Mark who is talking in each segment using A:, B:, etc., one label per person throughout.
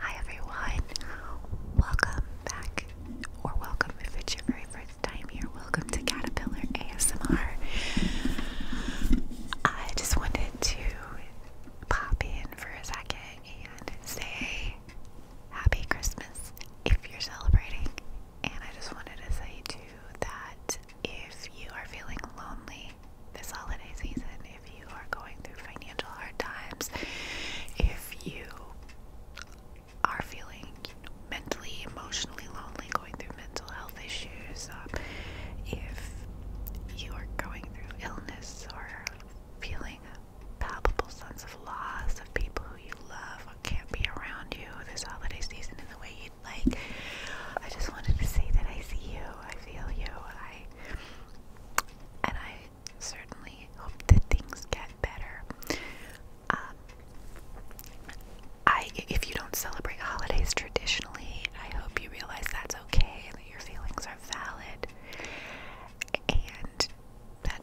A: Hi everyone, welcome back, or welcome if it's your very first time here. Welcome to Caterpillar ASMR. I just wanted to pop in for a second and say Happy Christmas if you're celebrating. And I just wanted to say too that if you are feeling lonely, this holiday season if you are going through financial hard times, if you are feeling mentally, emotionally lonely, going through mental health issues, um, if you are going through illness or feeling a palpable sense of loss of people who you love can't be around you this holiday season in the way you. Like, I just wanted to say that I see you, I feel you, I, and I certainly hope that things get better. Um, I, if you don't celebrate holidays traditionally, I hope you realize that's okay that your feelings are valid and that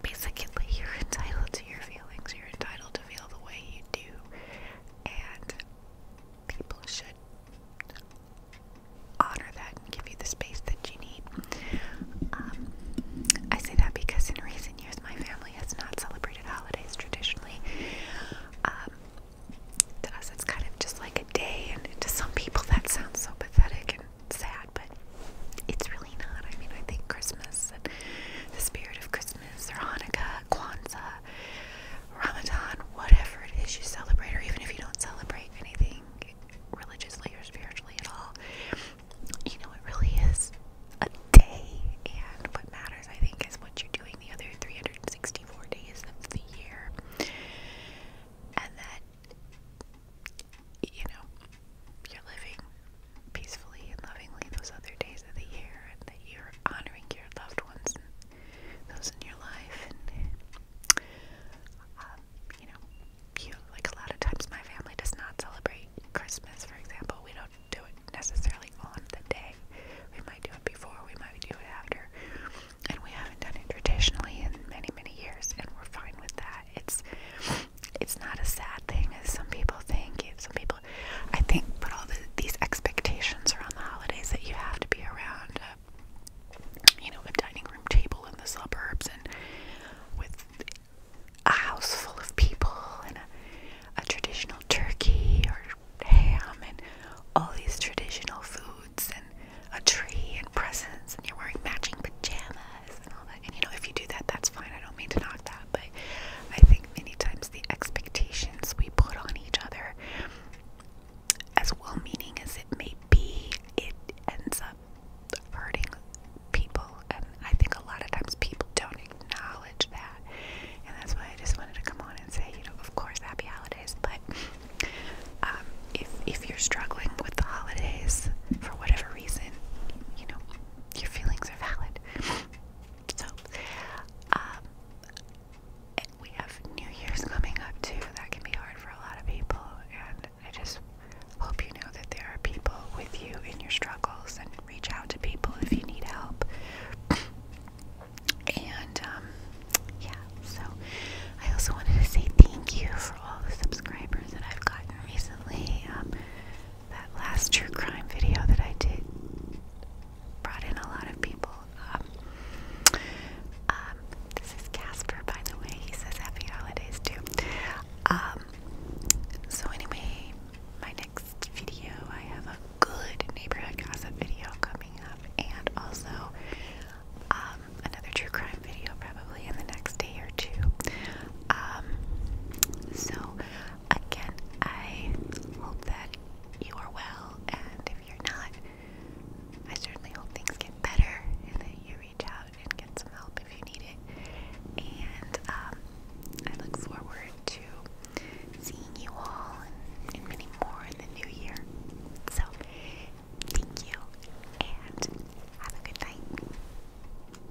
A: basically you're entitled to your feelings. You're entitled to feel the way you do. And people should honor that and give you the space that you need. Um, I say that because in recent years, my family has not celebrated holidays traditionally. Um, to us, it's kind of just like a day, and to some people, that sounds so pathetic and sad, but it's really not. I mean, I think Christmas and the spirit of Christmas or Hanukkah, Kwanzaa, Ramadan, whatever it is you celebrate, or even if you don't celebrate anything religiously or spiritually at all, you know, it really is a day. And what matters, I think, is what you're doing the other 364 days of the year. And that, you know, you're living peacefully and lovingly those other days of the year, and the year you're honoring your loved ones and those in your life. And, um, you know, you, like a lot of times my family does not celebrate Christmas, for example. We don't do it necessarily on the day. We might do it before, we might do it after. And we haven't done it traditionally in many, many years, and we're fine with that. It's it's not a sad thing as some people think. Some people I think put all the, these expectations around the holidays that you have to be around, a, uh, you know, a dining room table in the suburbs and with a house full of people and a, a traditional turkey or ham and all these traditional foods and a tree and presents and you're wearing matching pajamas and all that. And you know, if you do that, that's fine. I don't mean to knock that, but I, think many times the expectations we put on each other, as well meaning as it may be, it ends up hurting people. And I think a lot of times people don't acknowledge that. And that's why I just wanted to come on and say, you know, of course, happy holidays. But um, if, if you're struggling with the holidays for whatever reason, you know, your feelings are valid. So, um, we have New Year's coming up too. That can be hard for a lot of people, and I just hope you know that there are people with you in your struggles, and reach out to people if you need help. and um, yeah, so I also wanted to say thank you for all the subscribers that I've gotten recently. Um, that last true crime video that I did brought in a lot of people. Um, um, this is Casper, by the way. He says happy holidays too. Um, so anyway, my next video, I have a good neighborhood gossip video coming up, and also another true crime video probably in the next day or two. so Again, I hope that you are well, and if you're not, I certainly hope things get better and that you reach out and get some help if you need it. And um, I look forward to seeing you all and, and many more in the new year. So, thank you and have a good night.